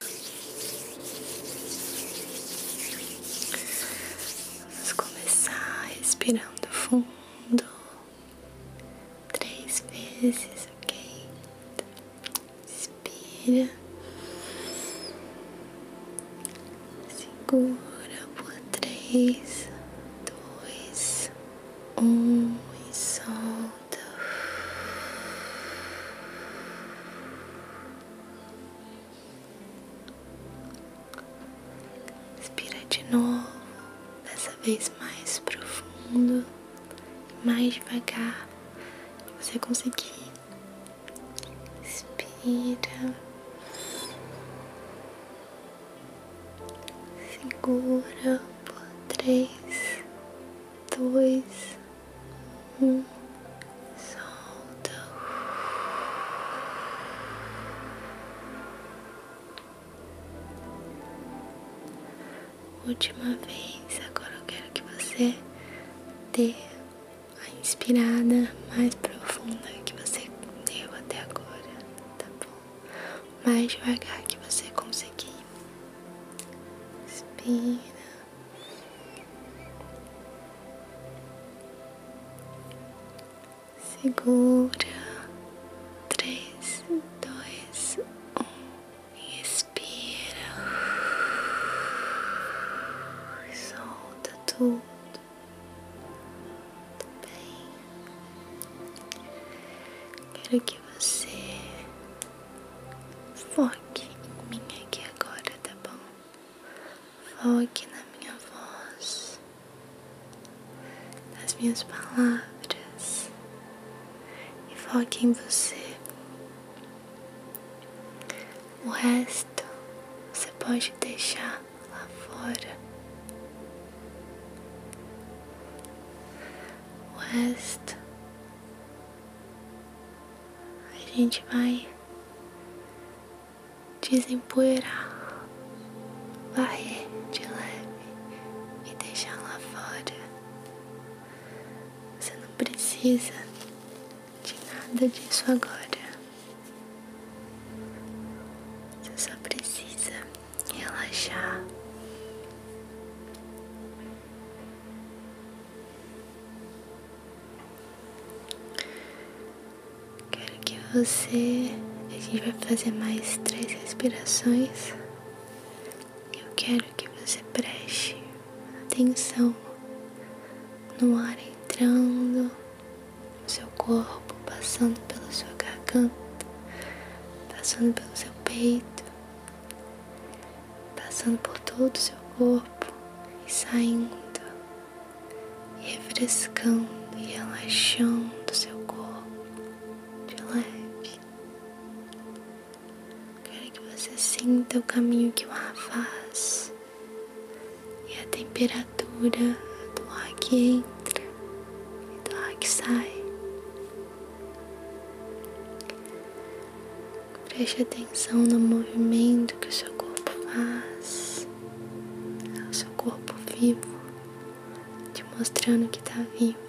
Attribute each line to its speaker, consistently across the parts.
Speaker 1: Vamos começar respirando fundo três vezes, ok? expira Segura por três, dois, um e solta. expira de novo, dessa vez mais profundo mais devagar você conseguir. Inspira, segura por três, dois, um, solta última vez. Agora eu quero que você dê a inspirada mais profunda que você deu até agora, tá bom? Mais devagar que você conseguir. Inspira. Segura. Três, dois, um. Inspira solta tudo. Tudo bem? Quero que você foque em mim aqui agora, tá bom? Foque na minha voz, nas minhas palavras e foque em você. O resto você pode deixar lá fora. O resto a gente vai desempoeirar, varrer de leve e deixar lá fora. Você não precisa de nada disso agora. Você só precisa relaxar. Quero que você. A gente vai fazer mais três respirações. Eu quero que você preste atenção no ar entrando no seu corpo, passando pela sua garganta, passando pelo seu peito, passando por todo o seu corpo e saindo refrescando e relaxando seu corpo de leve. Quero que você sinta o caminho que o ar faz e a temperatura do ar que entra e do ar que sai. Preste atenção no movimento que o seu corpo faz, é seu corpo vivo, te mostrando que está vivo.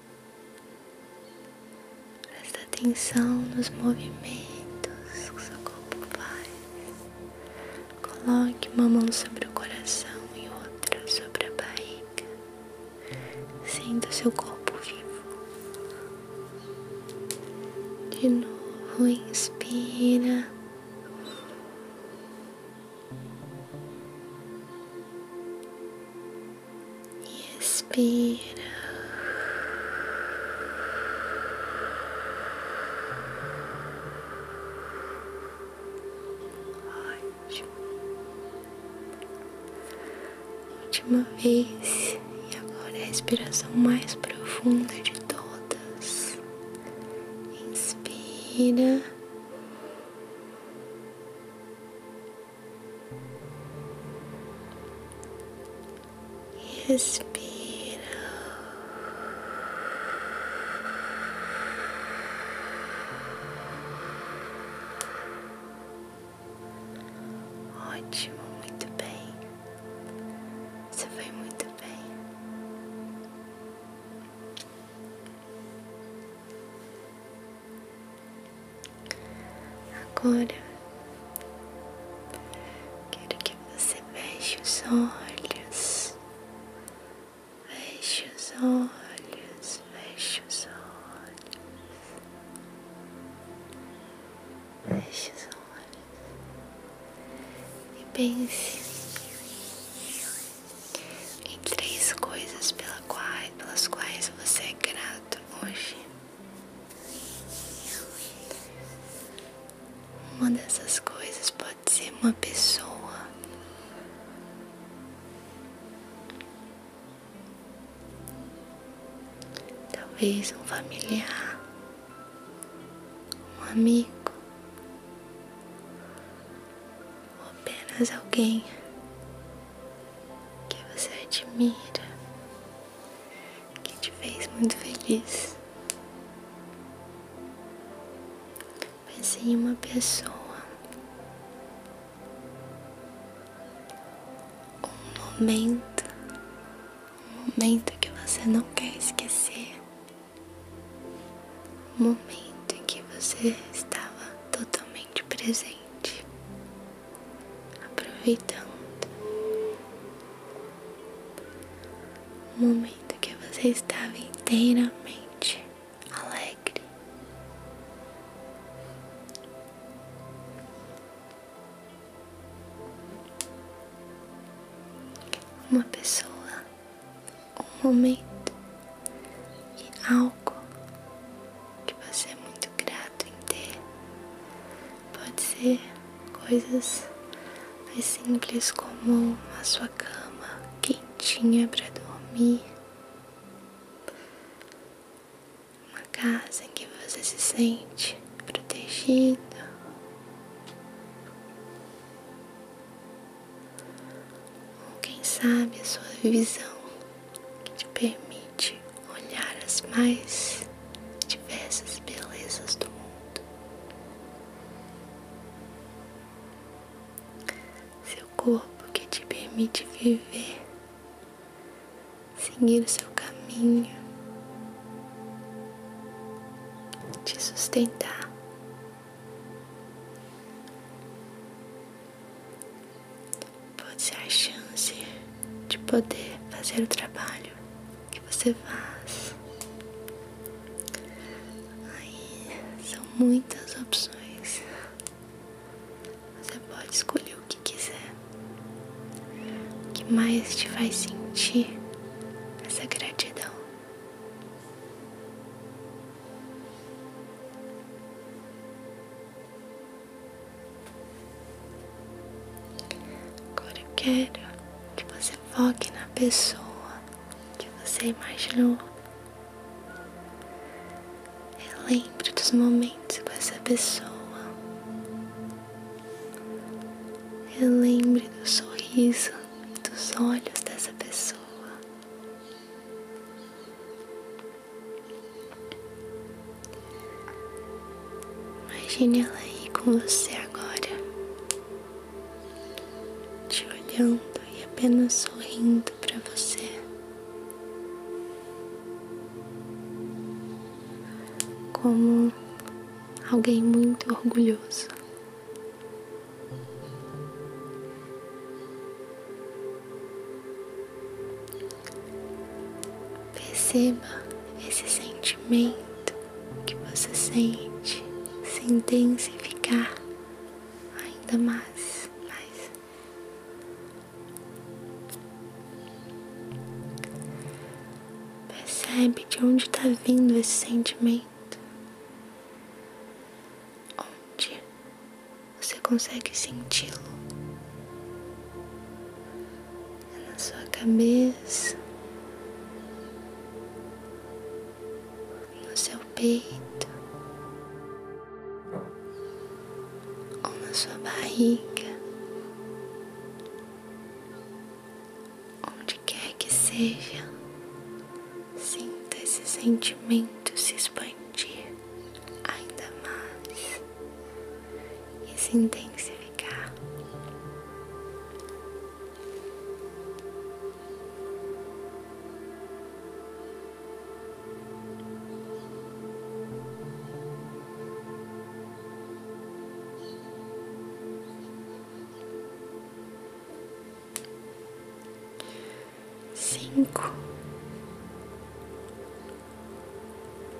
Speaker 1: Presta atenção nos movimentos que seu corpo faz. Coloque uma mão sobre o coração e outra sobre a barriga. Sinta seu corpo vivo. De novo, inspira e expira. Ótimo. Última vez, e agora a respiração mais profunda de todas. Inspira. Respira. Ótimo, muito bem. Você foi muito bem. Agora quero que você feche os olhos, feche os olhos, feche os olhos, feche os olhos e pense. em três coisas pelas quais você é grato hoje uma dessas coisas pode ser uma pessoa talvez um familiar um amigo ou apenas alguém que você admira, que te fez muito feliz. Pense em uma pessoa, um momento, um momento que você não quer esquecer, um momento em que você estava totalmente presente aproveitando o momento que você estava inteiramente alegre. Uma pessoa, um momento e algo que você é muito grato em ter. Pode ser coisas mais simples como a sua cama quentinha para dormir, uma casa em que você se sente protegido. ou Quem sabe a sua visão que te permite olhar as mais diversas belezas do mundo. Seu corpo que te permite viver, seguir o seu caminho, te sustentar pode ser a chance de poder fazer o trabalho que você faz. Aí são muitas opções. Você pode escolher o que quiser, o que mais te faz sentir essa gratidão. Agora eu quero que você foque na pessoa que você imaginou. Relembre dos momentos com essa pessoa. Relembre do sorriso e dos olhos dessa pessoa. Imagine ela aí com você agora, te olhando e apenas sorrindo para você. Como alguém muito orgulhoso. Perceba esse sentimento que você sente se intensificar ainda mais. mais. Percebe de onde está vindo esse sentimento. Onde você consegue senti-lo na sua cabeça, no seu peito ou na sua barriga, onde quer que seja, sinta esse sentimento se expandir expandir ainda mais e se intensificar. Cinco,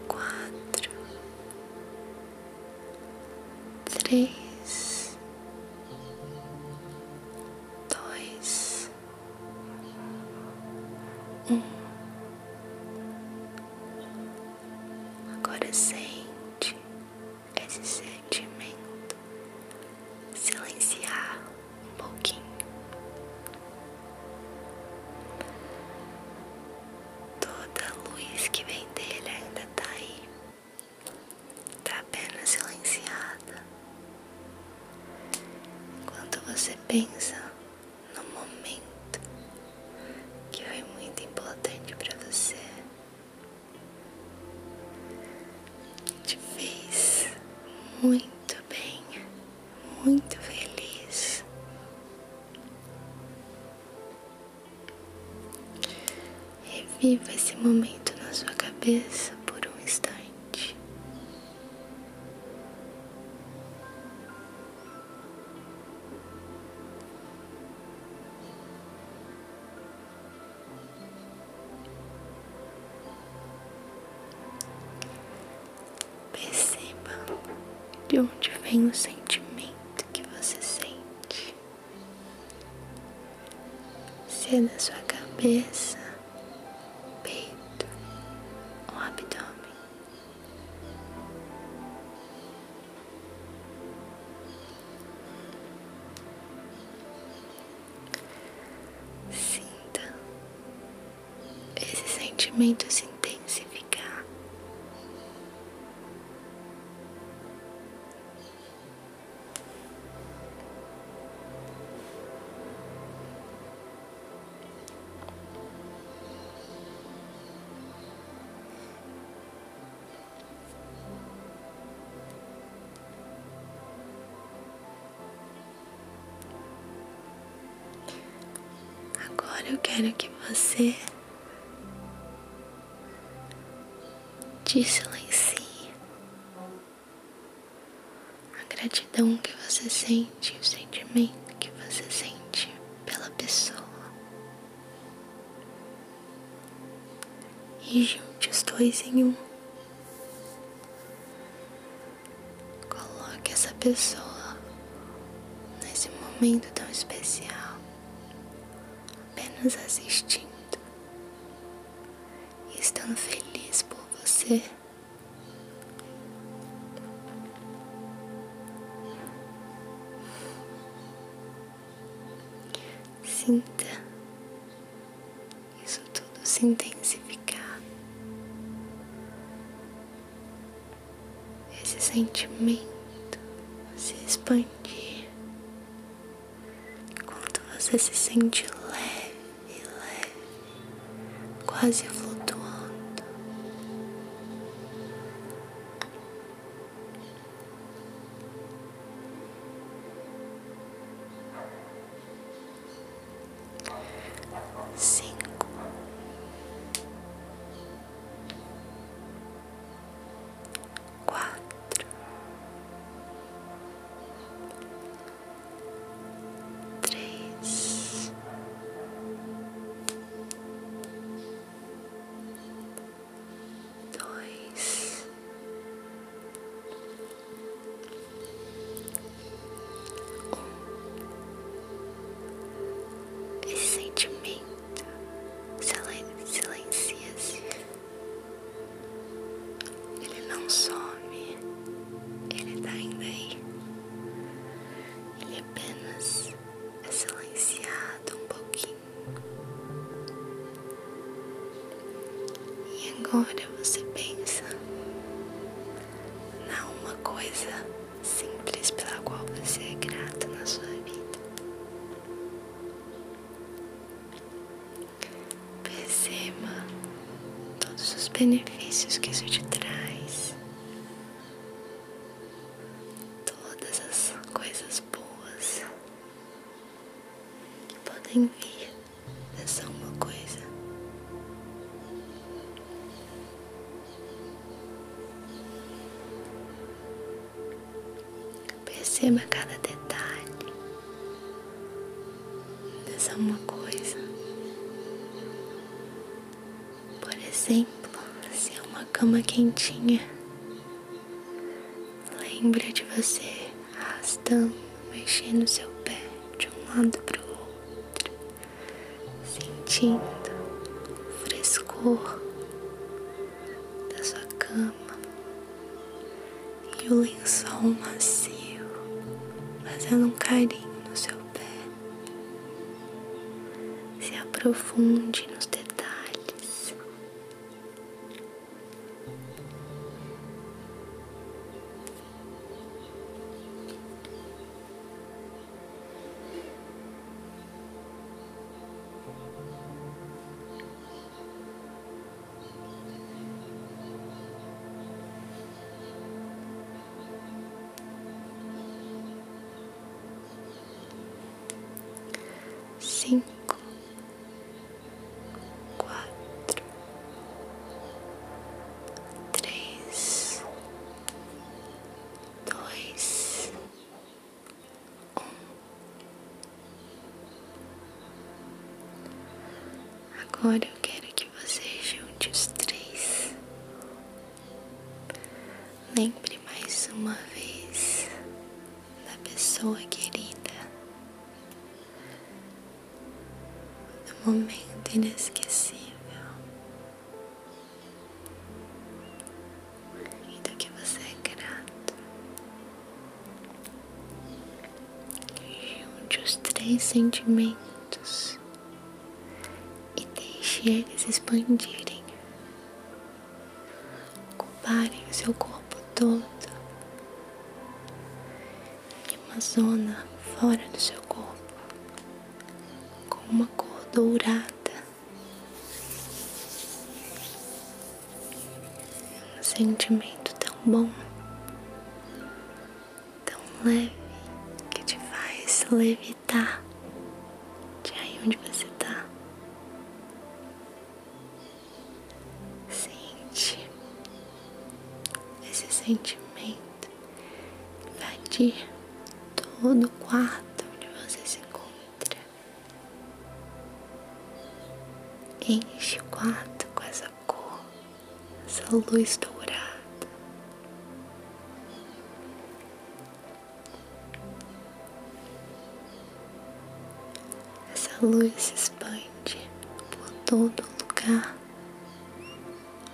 Speaker 1: quatro, três, dois, um. Agora sente esse sentimento silenciar um pouquinho. Toda a luz que vem dele ainda tá aí, tá apenas silenciada. Enquanto você pensa no momento que foi muito importante para você, te fez muito muito bem, muito feliz. Reviva esse momento na sua cabeça por um instante. Perceba de onde vem o sentimento que você sente. Se é na sua cabeça, peito ou abdômen. Sinta esse sentimento se intensificar. Agora eu quero que você te silencie. A gratidão que você sente, o sentimento que você sente pela pessoa. E junte os dois em um. Coloque essa pessoa nesse momento tão especial, apenas assistindo e estando feliz por você. Sinta isso tudo se intensificar esse sentimento se expandir quando você se sente leve, e leve, quase flutuando. Cinco, quatro, três, dois, um. Esse sentimento silencia-se. Ele não some, ele tá ainda aí. Ele apenas é silenciado um pouquinho. E agora você pensa na uma coisa simples pela qual você é grata na sua vida. Perceba todos os benefícios que isso te traz, todas as coisas boas que podem vir nessa uma coisa. Perceba cada detalhe dessa uma coisa. Por exemplo, se é uma cama quentinha, lembre de você arrastando, mexendo seu pé de um lado para o outro, sentindo o frescor da sua cama e o lençol macio fazendo um carinho no seu pé. Se aprofunde nos detalhes cinco, quatro, três, dois, um. Agora eu quero que você junte os três. Lembre mais uma vez da pessoa querida, do momento inesquecível e do que você é grato. Junte os três sentimentos e deixe eles expandirem, ocuparem o seu corpo todo e uma zona fora do seu corpo com uma cor dourada um sentimento tão bom, tão leve, que te faz levitar de aí onde você está. Sente esse sentimento invadir todo o quarto onde você se encontra. Enche o quarto com essa cor, essa luz dourada. Essa luz se expande por todo lugar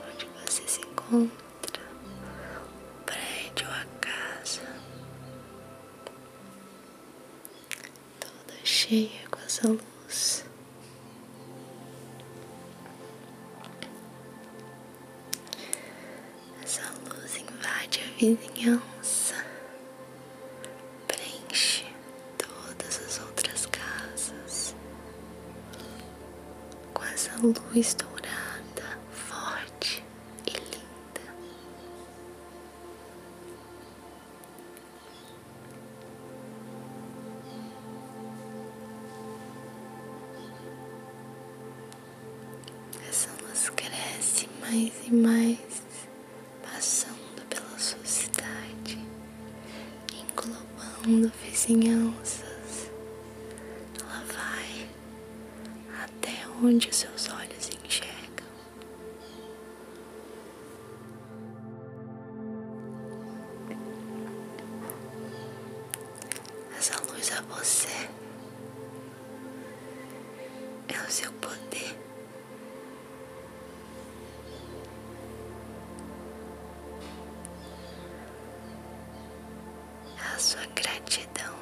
Speaker 1: onde você se encontra outra, um prédio, a casa, toda cheia com essa luz. Essa luz invade a vizinhança, preenche todas as outras casas com essa luz dourada, forte e linda. Essa luz cresce mais e mais, passando pela sua cidade, englobando vizinhanças. lá vai até onde seus olhos enxergam. Essa luz é você, é o seu poder. é A sua gratidão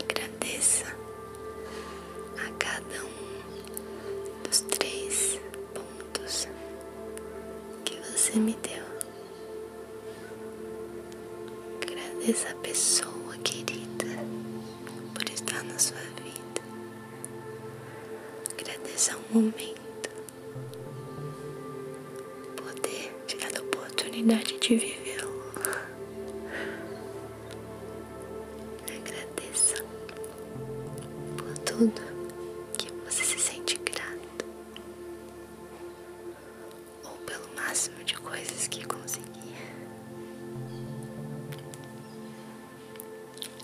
Speaker 1: Agradeça a cada um dos três pontos que você me deu. Agradeça a pessoa querida por estar na sua vida. Agradeça o momento, poder ter dar a oportunidade de viver. Agradeça por tudo que você se sente grato ou pelo máximo de coisas que conseguir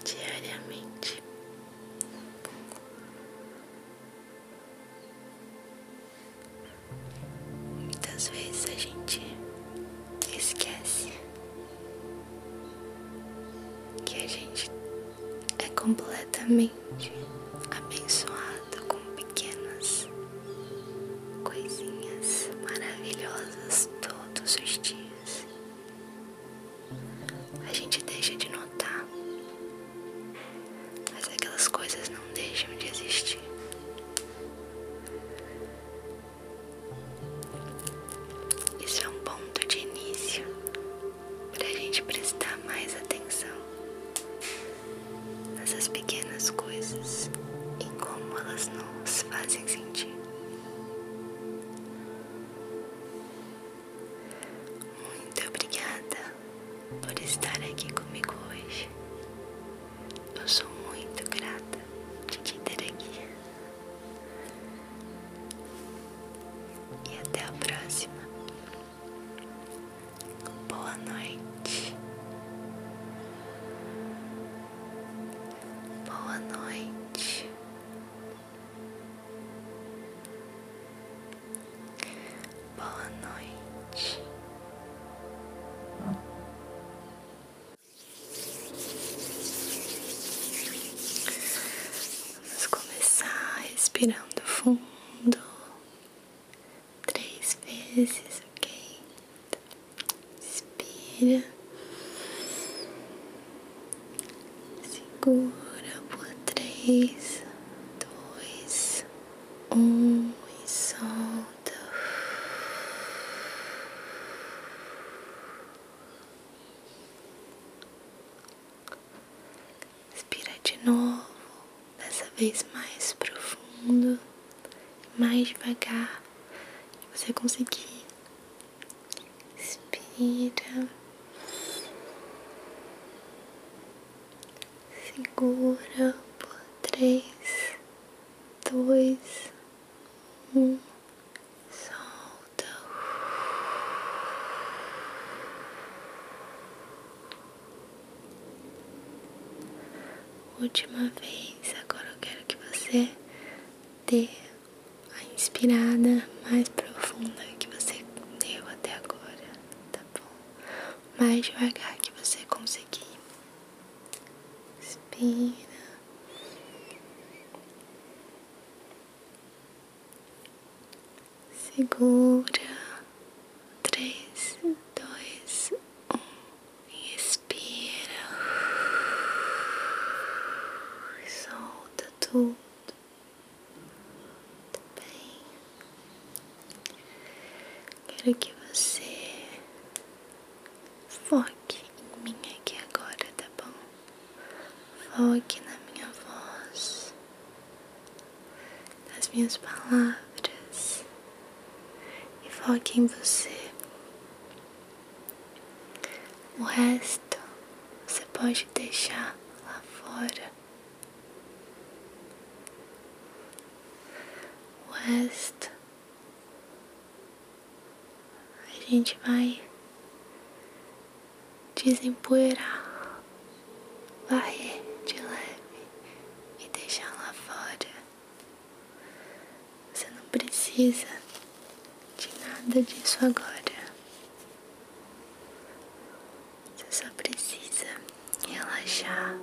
Speaker 1: diariamente. Muitas vezes a gente esquece que a gente é completamente abençoado com pequenas coisinhas maravilhosas todos os dias. A gente deixa de notar, mas aquelas coisas não deixam de existir. Isso é um ponto de início para a gente prestar mais atenção nessas pequenas coisas e como elas nos fazem sentir. Muito obrigada por estar aqui comigo hoje. Eu sou muito grata de te ter aqui. E até a próxima. Boa noite. Boa noite. Boa noite. Vamos começar respirando fundo fundo três vezes, ok? expira segura por três, dois, um e solta. Inspira de novo, dessa vez mais profundo, mais devagar, você conseguir. Inspira. Segura por três, dois, um. Solta. Última vez, agora eu quero que você dê a inspirada mais profunda que você deu até agora, tá bom? Mais devagar que você conseguir. Inspira segura três, dois, um, inspira solta tudo. Tá bem? Quero que você foque em mim aqui agora, tá bom? Foque na minha voz nas minhas palavras e foque em você. O resto você pode deixar lá fora. O resto a gente vai desempoeirar, varrer de leve e deixar lá fora. Você não precisa de nada disso agora. Você só precisa relaxar.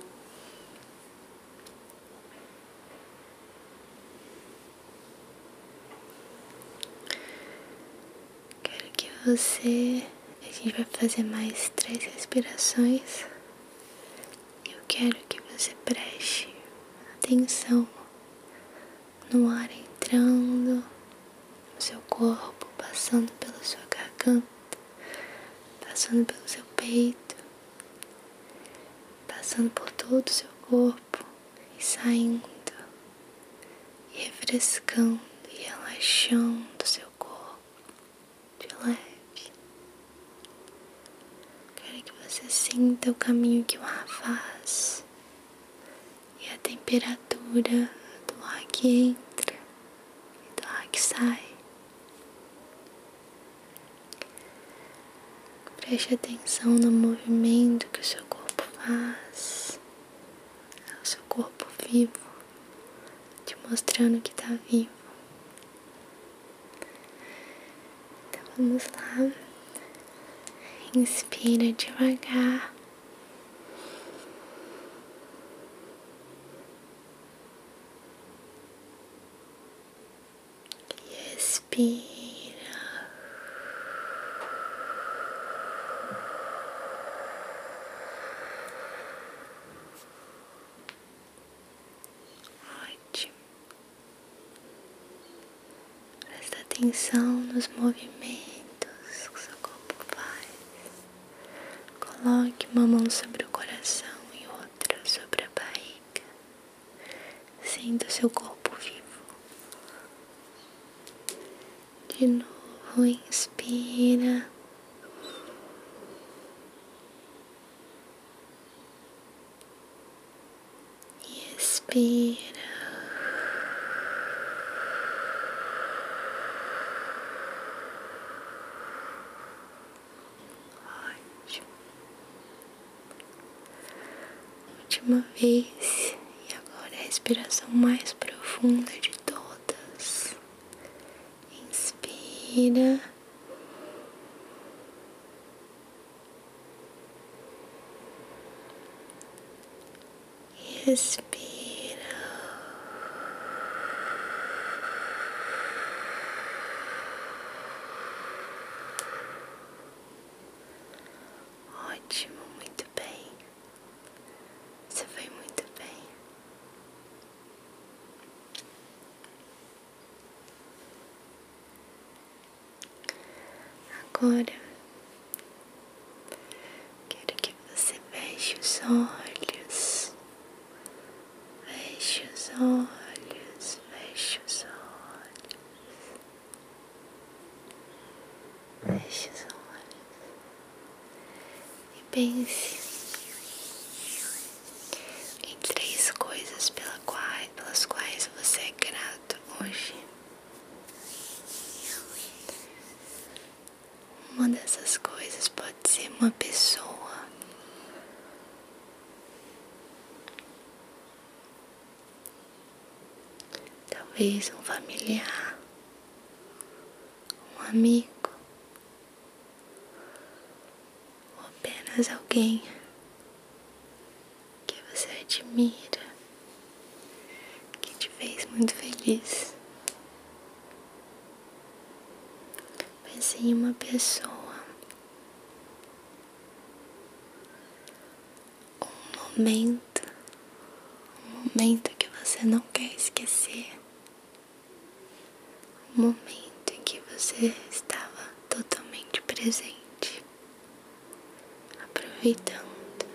Speaker 1: Quero que você. A gente vai fazer mais três respirações. Eu quero que você preste atenção no ar entrando no seu corpo, passando pela sua garganta, passando pelo seu peito, passando por todo o seu corpo e saindo, refrescando e relaxando o seu corpo de leve. Quero que você sinta o caminho que o ar faz e a temperatura do ar que entra e do ar que sai. Preste atenção no movimento que o seu corpo faz ao seu corpo vivo, te mostrando que está vivo. Então vamos lá. Inspira devagar. E expira. Ótimo. Presta atenção nos movimentos que seu corpo faz. Coloque uma mão sobre o coração e outra sobre a barriga. Sinta o seu corpo vivo de novo, inspira. e Expira. Ótimo. Última vez. E agora a respiração mais profunda de todas inspira. expira, Ótimo, muito bem. Você foi muito bem. Agora quero que você veja os olhos, veja os olhos, veja os olhos, veja os olhos. E pense em três coisas pela qual, pelas quais você é grato hoje. Uma dessas coisas pode ser uma pessoa. Talvez um familiar, um amigo, ou apenas alguém que você admira, que te fez muito feliz. mas em uma pessoa, um momento, um momento que você não quer esquecer o momento em que você estava totalmente presente, aproveitando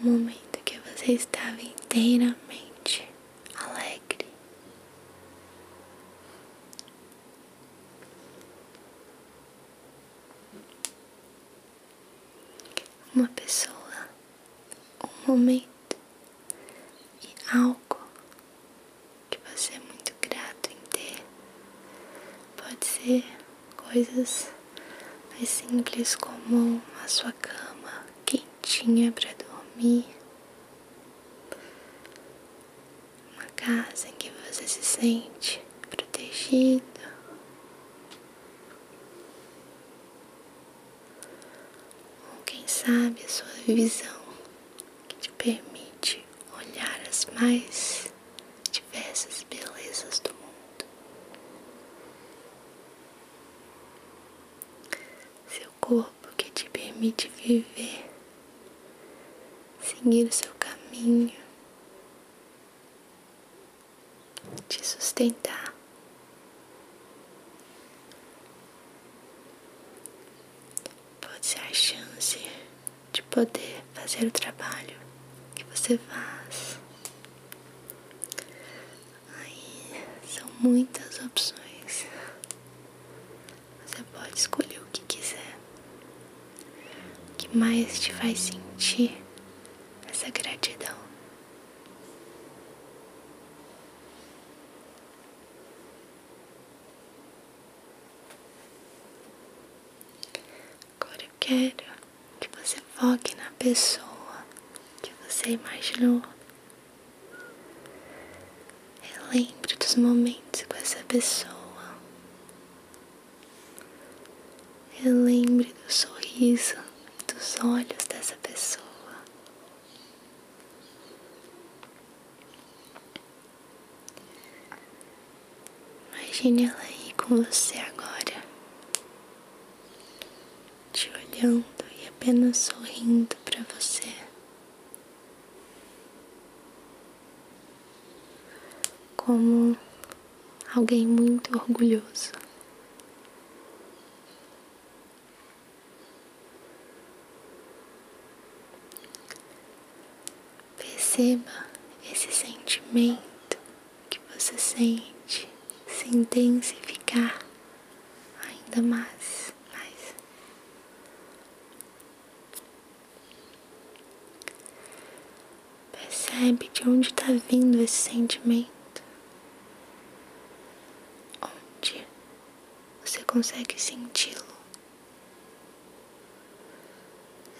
Speaker 1: o momento que você estava inteiramente alegre uma pessoa, um momento e algo que você é muito grato em ter. Pode ser coisas mais simples como a sua cama quentinha para dormir, uma casa em que você se sente protegido. Ou quem sabe a sua visão que te permite olhar as mais diversas belezas do mundo. Seu corpo que te permite viver, seguir o seu caminho te sustentar. Pode ser a chance de poder fazer o trabalho que você faz. Aí são muitas opções. Você pode escolher o que quiser, o que mais te faz sentir essa gratidão. Agora eu quero que você foque na pessoa que você imaginou. Relembre dos momentos com essa pessoa. Relembre do sorriso dos olhos dessa pessoa. Imagine ela aí com você agora, te olhando e apenas sorrindo para você. Como alguém muito orgulhoso. Perceba esse sentimento que você sente se intensificar ainda mais, mais. Percebe de onde está vindo esse sentimento onde você consegue senti-lo.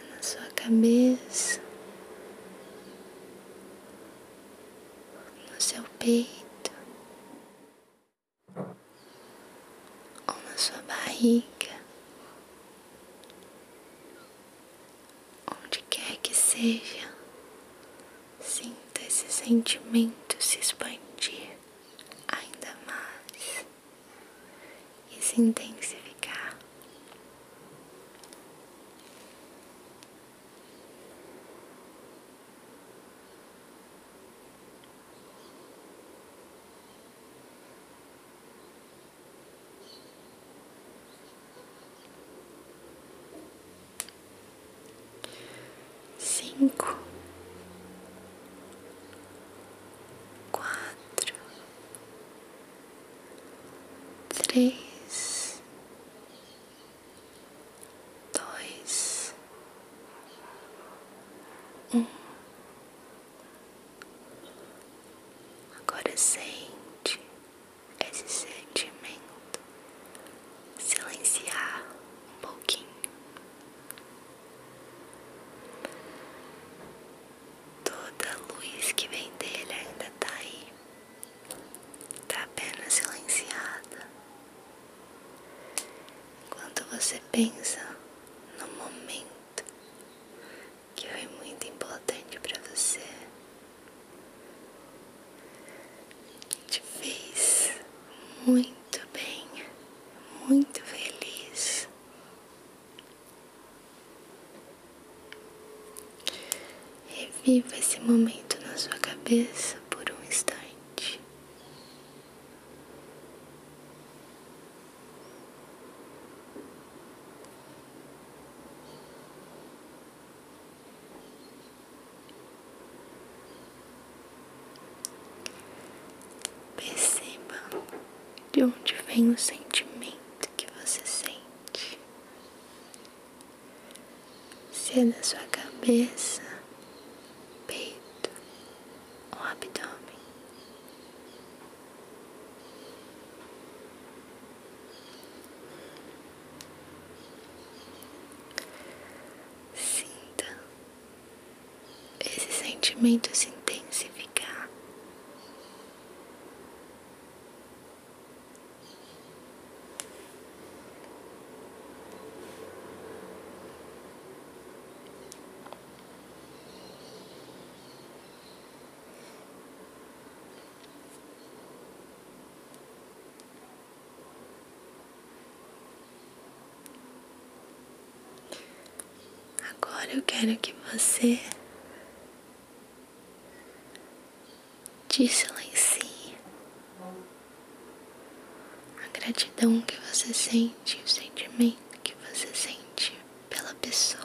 Speaker 1: É na sua cabeça, no seu peito, ou na sua barriga, onde quer que seja, sinta esse sentimento se expandir ainda mais e se intensificar cinco, quatro, três, dois, um. Agora é sente esse sentimento silenciar um pouquinho. Toda luz que vem dele ainda tá aí, tá apenas silenciada. Enquanto você pensa no momento que foi muito importante para você, te fez muito bem, muito feliz. Reviva esse momento na sua cabeça por um instante. Perceba de onde vem o sentimento que você sente. Se é da sua cabeça, peito ou abdômen. Sinta esse sentimento se intensificar. Agora eu quero que você te silencie. A gratidão que você sente, o sentimento que você sente pela pessoa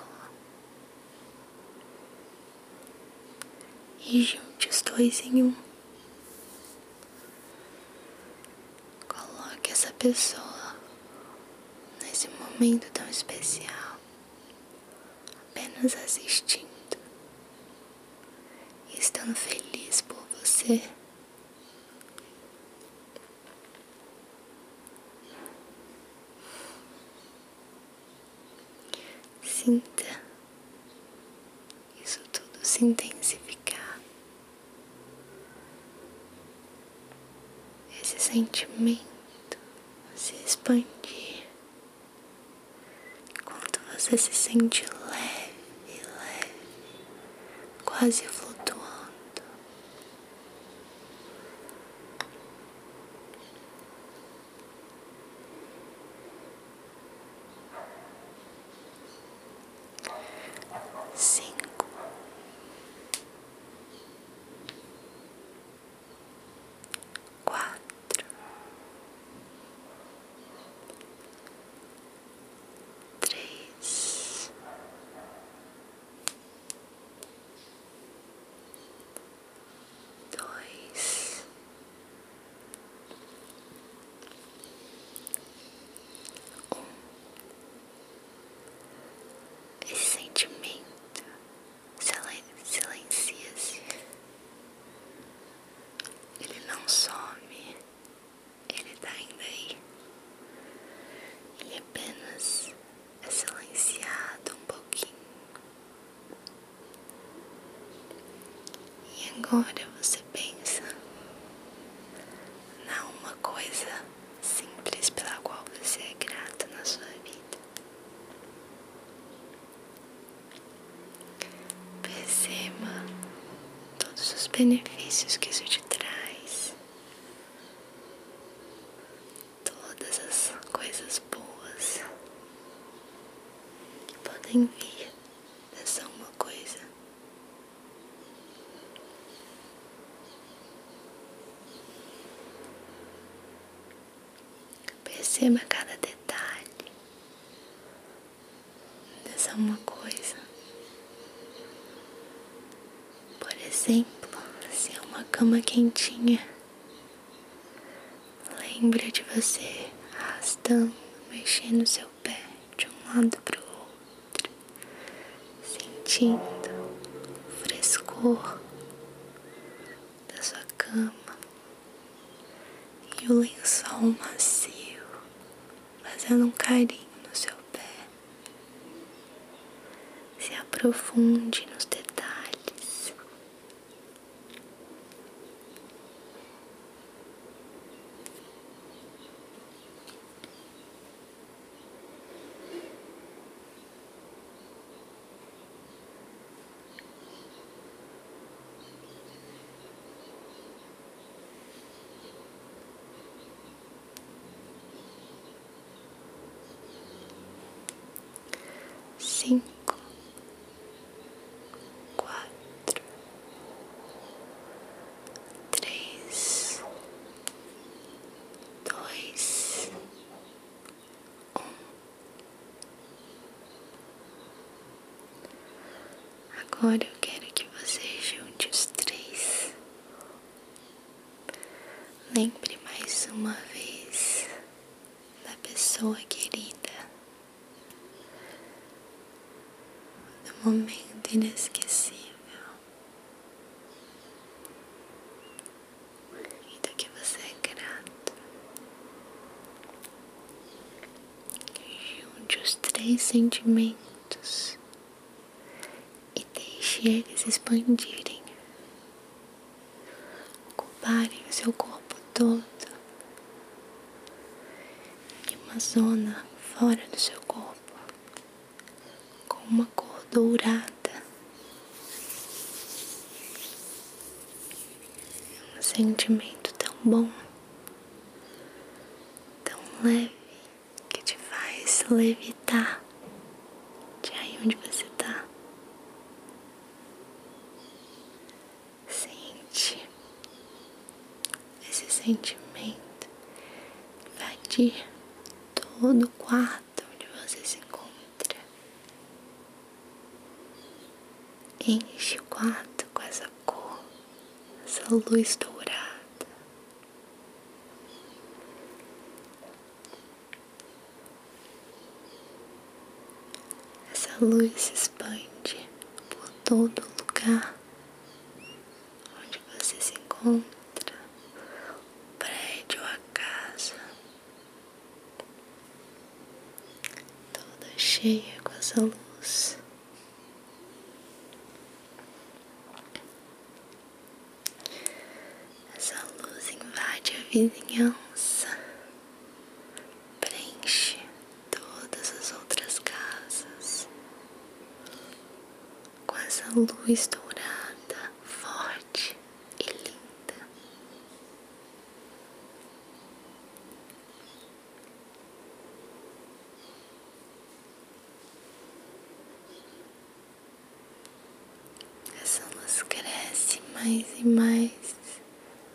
Speaker 1: e junte os dois em um. Coloque essa pessoa nesse momento tão especial, apenas assistindo e estando feliz por você. Sinta isso tudo se intensificar. Esse sentimento se expandir. enquanto você se sente leve, leve, quase flutuando cinco, quatro, três, dois. Esse sentimento silen silencia-se. Ele não some, ele tá ainda aí. Ele é apenas é silenciado um pouquinho. E agora você pensa na uma coisa simples pela qual você é grata na sua vida. Perceba todos os benefícios que isso te traz, todas as coisas boas que podem vir é só uma coisa. Perceba cada detalhe dessa é uma coisa. Por exemplo, se é uma cama quentinha, lembre de você arrastando, mexendo seu seu pé de um lado para o outro, sentindo o frescor da sua cama e o lençol macio fazendo um carinho no seu pé. Se aprofunde nos detalhes cinco quatro, três, dois, um. Agora eu quero que você junte os três. Lembre mais uma vez da pessoa querida do momento inesquecível e do que você é grato. Junte os três sentimentos e deixe eles expandirem, ocuparem o seu corpo todo e uma zona fora do seu corpo com uma cor dourada. Um sentimento tão bom, tão leve que te faz levitar de aí onde você está. Sente esse sentimento que vai de todo o quarto onde você se encontra. Enche o quarto com essa cor, essa luz dourada. Essa luz se expande por todo lugar onde você se encontra, o prédio, a casa, toda cheia com essa luz. Essa luz invade a vizinhança, preenche todas as outras casas com essa luz dourada, forte e linda. Essa luz cresce mais e mais,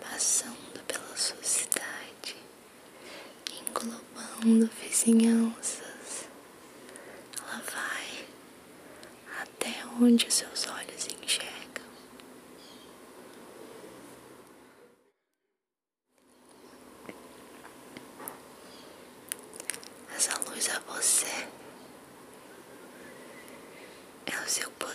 Speaker 1: passando pela sua cidade englobando vizinhanças. Ela vai até onde seus olhos enxergam. Essa luz é você, é o seu poder.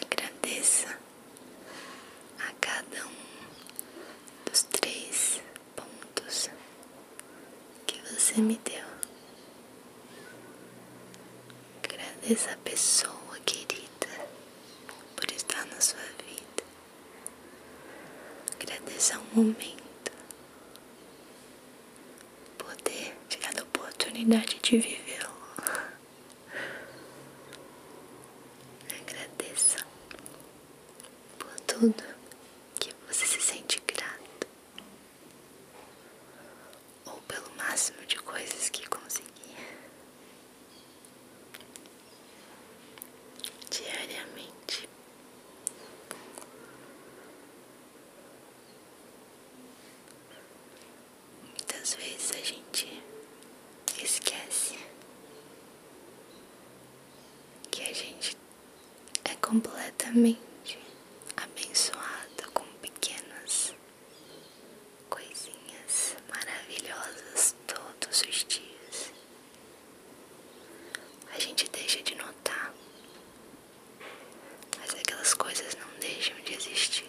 Speaker 1: Agradeça a cada um dos três pontos que você me deu. Agradeça a pessoa querida por estar na sua vida. Agradeça o momento, poder, ter a oportunidade de vivê-lo. Agradeça por tudo que você se sente grato, ou pelo máximo de coisas que conseguir diariamente. Muitas vezes a gente esquece que a gente é completamente abençoado com pequenas coisinhas maravilhosas todos os dias. A gente deixa de notar, mas aquelas coisas não deixam de existir.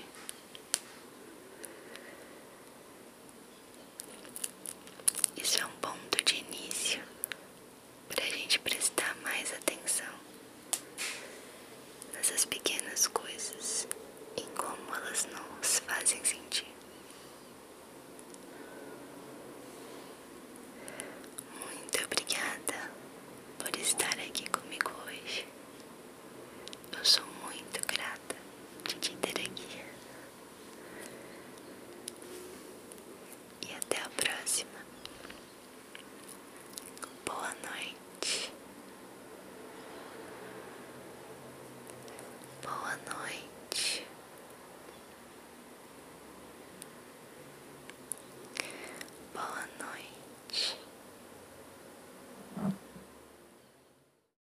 Speaker 1: Isso é um ponto de início para a gente prestar mais atenção nessas pequenas coisas e como elas nos fazem sentir. Muito obrigada por estar aqui comigo hoje. Eu sou muito grata de te ter aqui. E até a próxima. Boa noite. Boa noite. Boa noite.